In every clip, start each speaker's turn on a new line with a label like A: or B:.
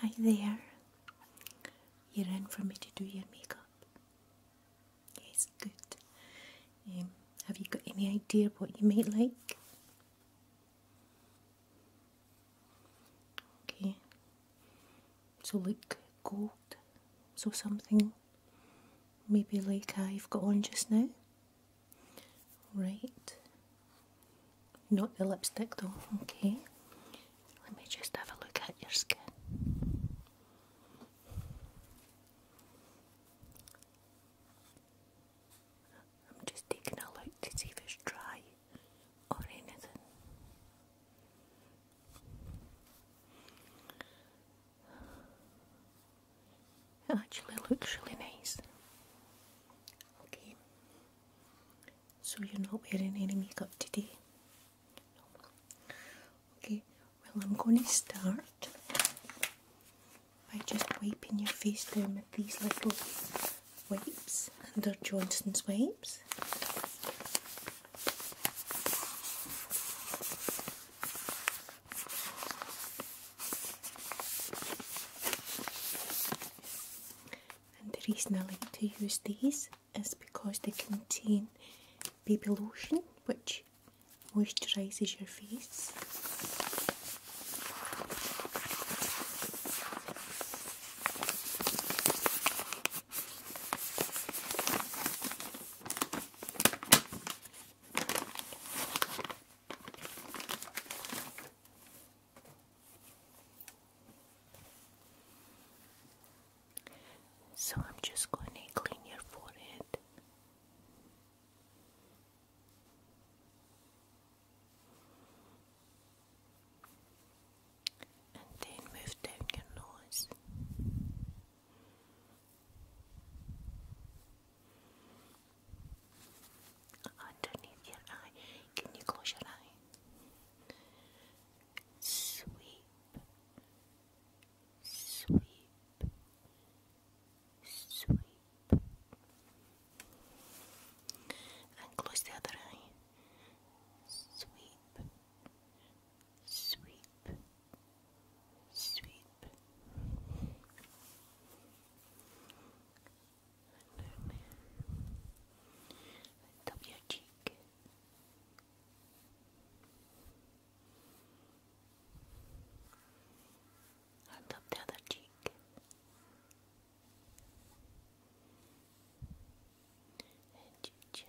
A: Hi there. You ran for me to do your makeup. Yes, good. Um, have you got any idea what you might like? Okay. So like gold. So something maybe like I've uh, got on just now. Right. Not the lipstick though, okay. Let me just have a look at your skin. I'm just taking a look to see if it's dry or anything. It actually looks really nice. Okay. So you're not wearing any makeup today? Okay, well I'm going to start by just wiping your face down with these little wipes and they're Johnson's wipes. And the reason I like to use these is because they contain baby lotion which moisturises your face. So I'm just going to clean your forehead. And then move down your nose. Underneath your eye. Can you close your eye? Sweep, sweep, sweep, and close the other eye. Sweep, sweep, sweep and then top your cheek. On top the other cheek, and your chin,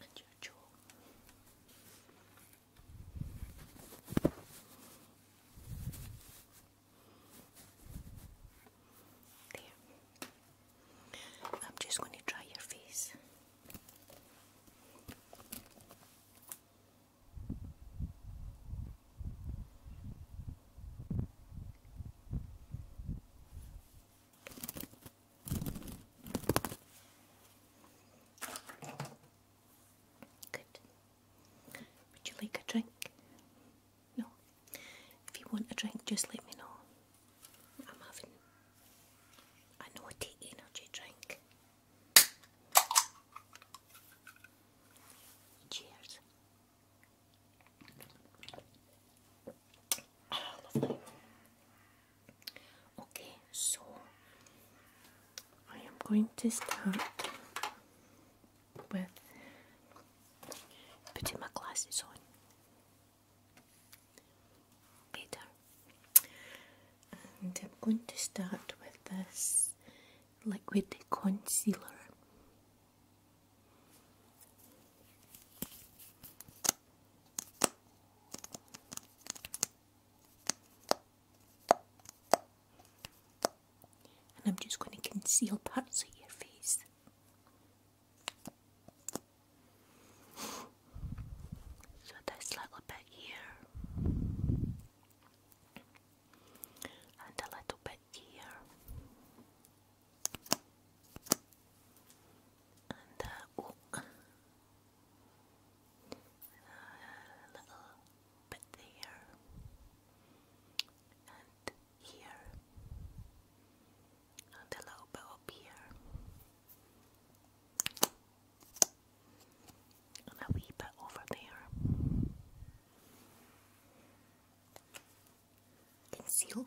A: and your jaw. There. I'm just going to try your face. Good. Would you like a drink? No. If you want a drink, just let me know. I'm having a naughty energy drink. Cheers. Ah, okay, so I am going to start with putting my glasses on. Better. And I'm going to start with this liquid concealer. And I'm just going to conceal parts of your face. So, this little bit here, and a little bit here, and uh, a little bit there and here and a little up here and a wee bit over there. Concealed.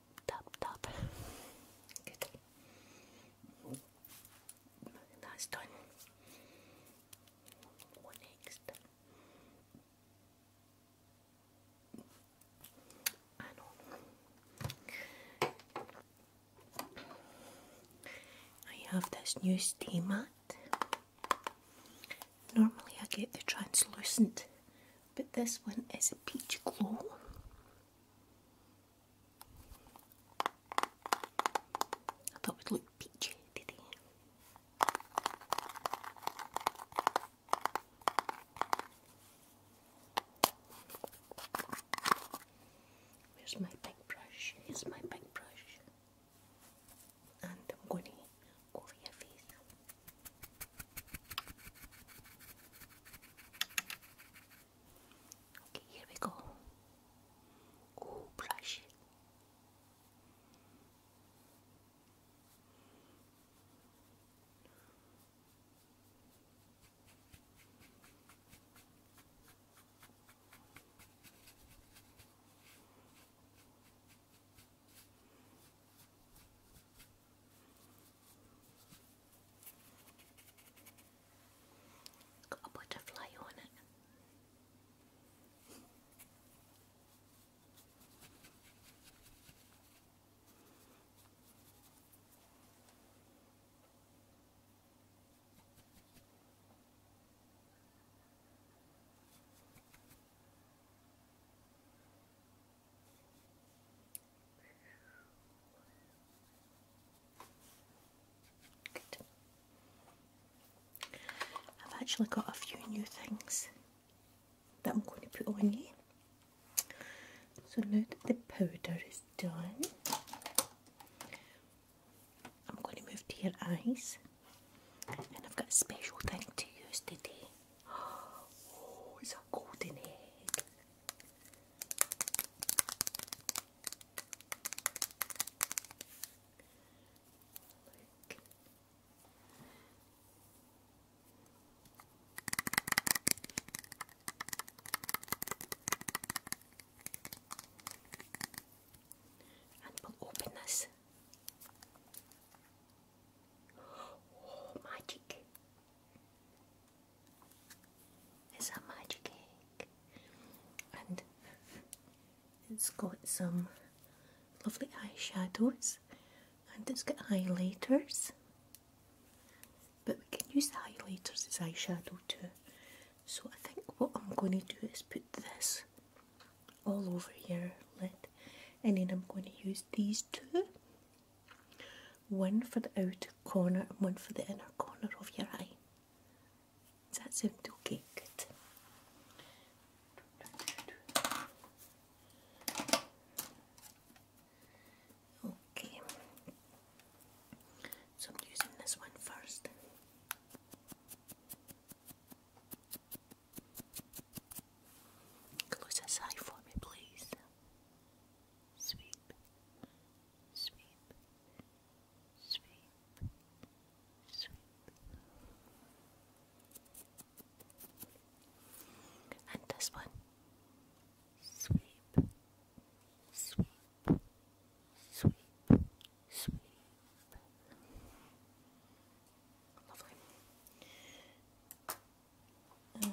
A: tap tap. Good. That's done. What next? I have this new steam mat. Normally I get the translucent, but this one is a peach glow. I thought we would look peachy, did Where's my big brush? Here's my big brush. And I'm going to go your face. Okay, here we go. Oh, brush. Got a butterfly on it. I've actually got a few new things that I'm going to put on you. So now that the powder is done, I'm going to move to your eyes and I've got a special thing to use today. Oh, it's a golden egg. Look. And we'll open this. Oh, magic! It's a magic egg, and it's got some lovely eyeshadows, and it's got highlighters. But we can use the highlighters as eyeshadow too. So I think what I'm going to do is put this all over here, lid, and then I'm going to use these two one for the outer corner and one for the inner corner of your eye. Does that sound okay? Good. Okay. So I'm using this one first. Close this eye for me, please. Sweep, sweep, sweep, sweep. And this one, sweep, sweep, sweep, sweep. Lovely. And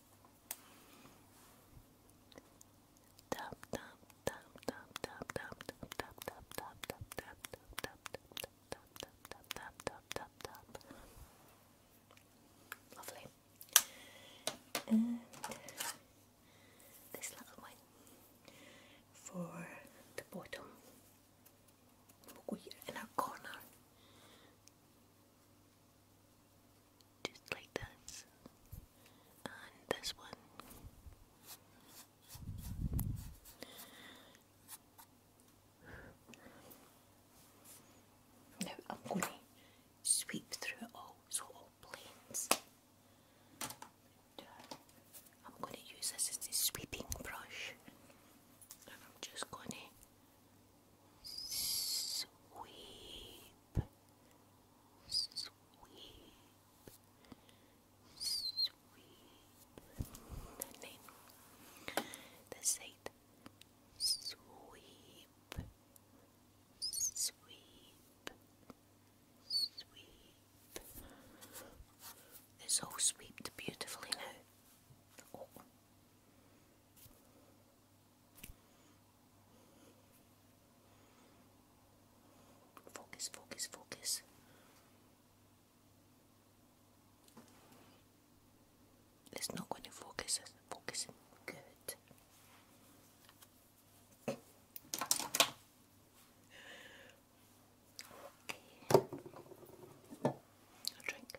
A: Tap tap Lovely. this little one for the bottom. We'll go here in our corner just like this, and this one. Now I'm going to sweep through it all, so all planes. Uh, I'm going to use this as the sweeping brush, and I'm just going to sweep, sweep, sweep. The name, the saint, sweep, sweep, sweep. It's all swept beautifully now. Oh. Focus, focus, focus. It's not going to focus, it's good. drink.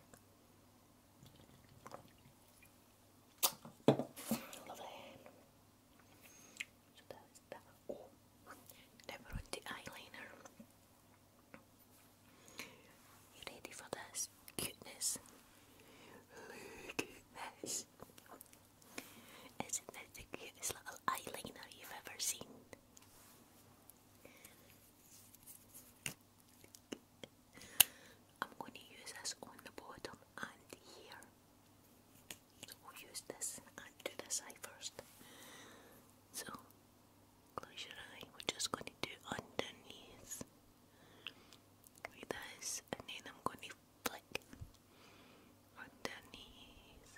A: Lovely. So that is the eyeliner. You ready for this cuteness? Look the cutest little eyeliner you've ever seen? I'm going to use this on the bottom and here. So use this and do this eye first. So close your eye. We're just going to do underneath like this, and then I'm going to flick underneath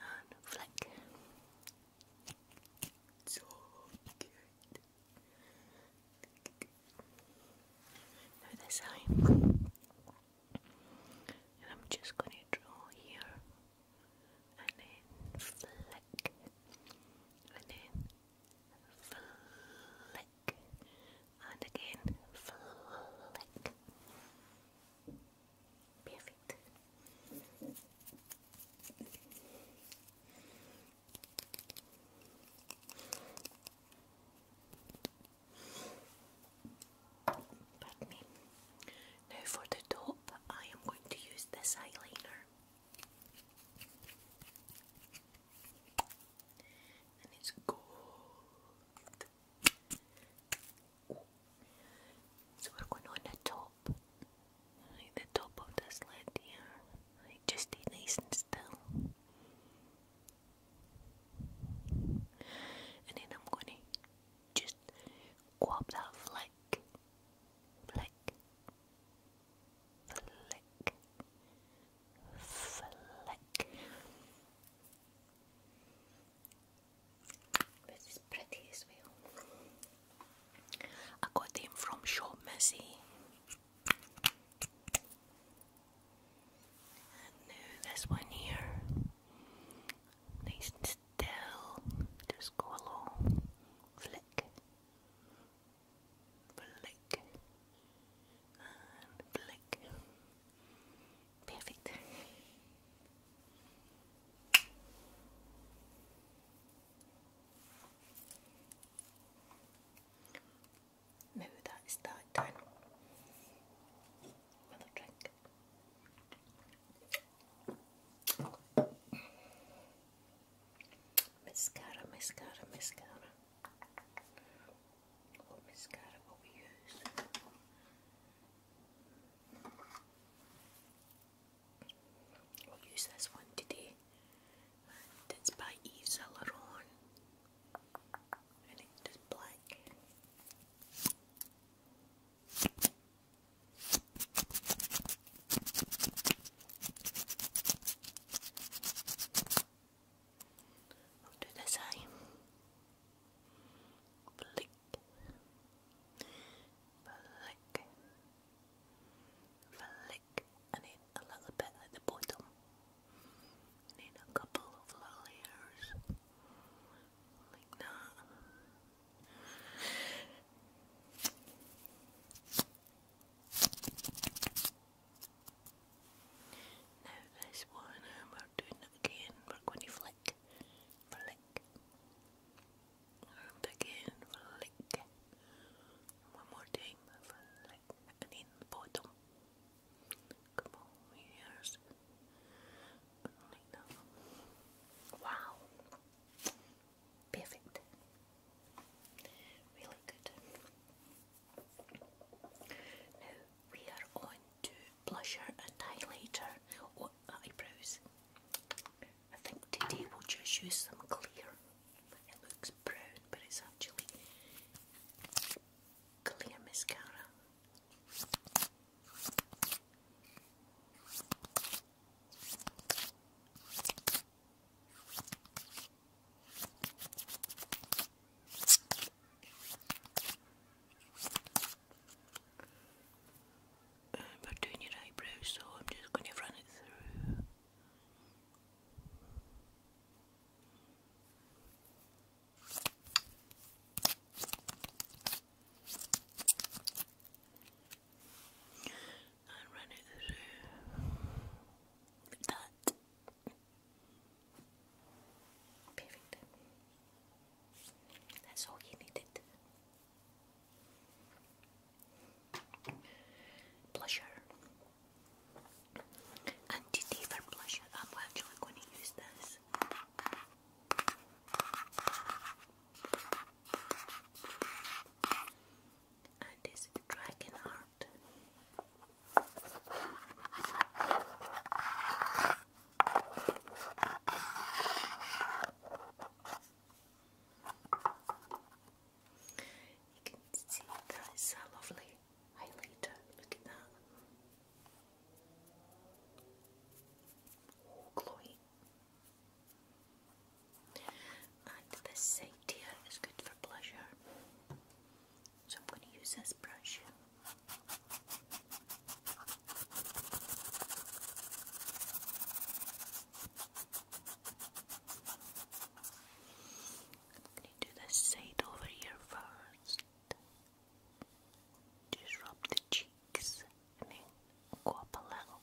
A: and flick. So good this time, and I'm just going to draw here, and then flick, and then flick, and again flick. Perfect. Now for the top, I am going to use this eyeliner. And it's gold. So we're going on the top, the top of this lid here. Just stay nice and still. And then I'm gonna just grab that flick, flick, flick, flick. This is pretty as well. I got them from Shop Missy. And this one here, nice and still, just go along, flick, flick, and flick. Perfect. Maybe that is that time. Another drink. Mascara, mascara, mascara. What mascara will we use? we use this one today and it's by Yves Saint and it's black do this eye Blick Flick, flick, and then a little bit at the bottom. Need a couple of layers like Now this one um, we're doing it again, we're going to flick, flick, and again, flick, one more time, flick, like and Wow, perfect, really good. Now we are on to blusher and highlighter or eyebrows. I think today we'll just use some clear. It looks brown, but it's actually clear mascara. Um, we're doing your eyebrows, so I'm just going to run it through and run through that. Perfect. That's all he needed. Blusher. Anti Diva I'm actually going to use this. And it's Dragon Heart. You can see that is a lovely highlighter. Look at that. Oh, glowy. And this side here is good for pleasure. So I'm going to use this brush. I need to do the side over here first. Just rub the cheeks and then go up a little.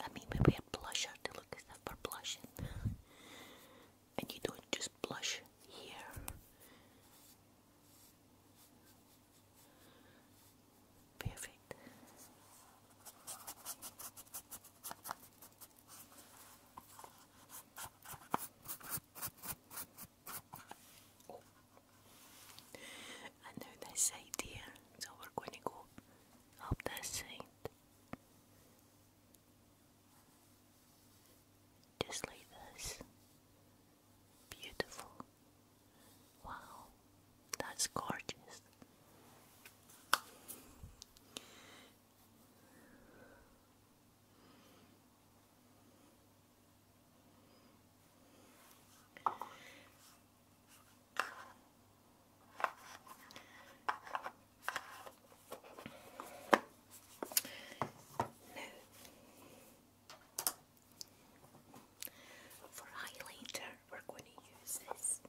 A: I mean, we wear blusher to look as if blushing. and you don't just blush here. Perfect. And oh. now this side here, so we're going to go up this side. Just like this. Beautiful. Wow. That's gorgeous. for highlighter, we're going to use this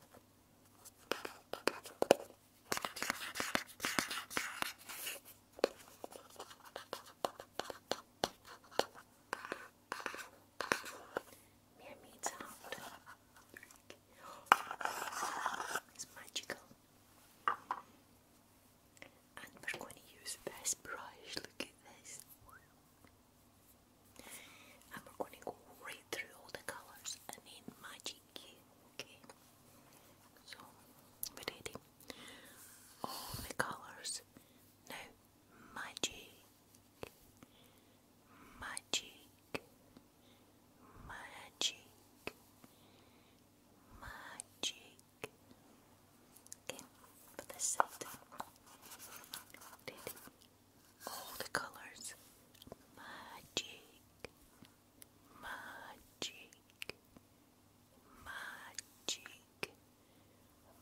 A: Mermaid's out. It's magical. And we're going to use this brush. Look at this i we going to go right through all the colours and then magic okay? So, we're ready. All the colours. Now, magic, magic, magic, magic. for this side. Ready? all the colors. Magic, magic, magic,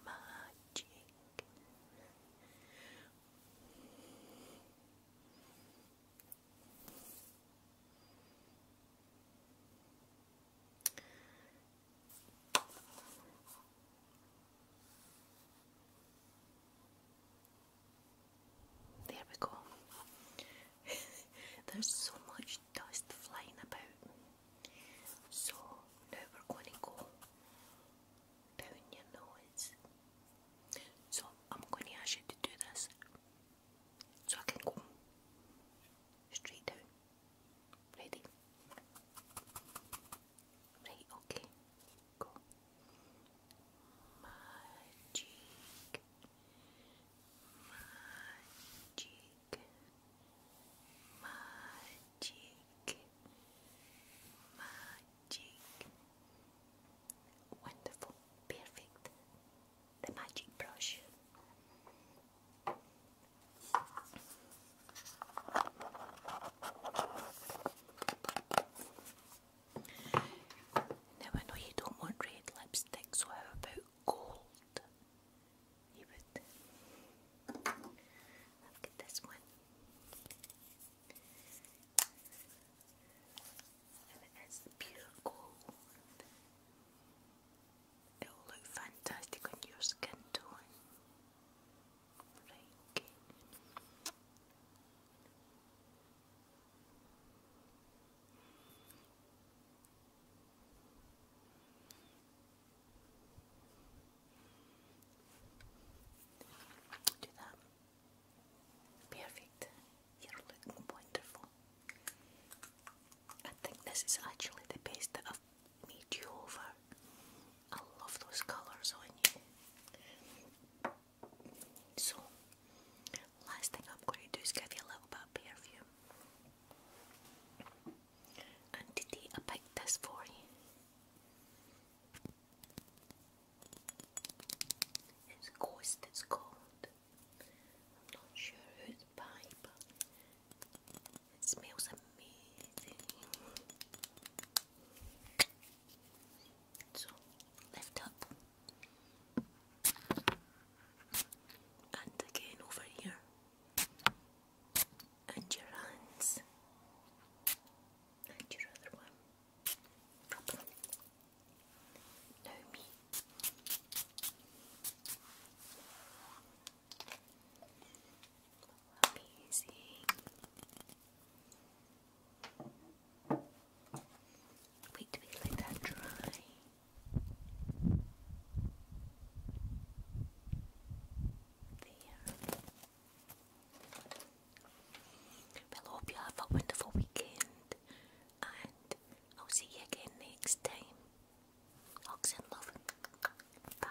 A: magic. There we go. There's so much dust flying about. So now we're going to go down your nose. So I'm going to ask you to do this so I can go straight down. Ready? Right, okay magic, magic, magic, magic. Wonderful, perfect. The magic brush. Now I know you don't want red lipstick, so how about gold? You would. get this one. And it is pure It will look fantastic on your skin tone. Do that. Perfect. You're looking wonderful. I think this is actually the best that I've made you over. I love those colours on you. So, last thing I'm going to do is give you a little bit of perfume. And today I picked this for you. It's Ghost, it's called. I'm not sure who it's but it smells amazing. So lift up and again over here and your hands and your other one. Proper. Now me. Amazing we let hope you have a wonderful weekend, and I'll see you again next time. Hugs love. Bye.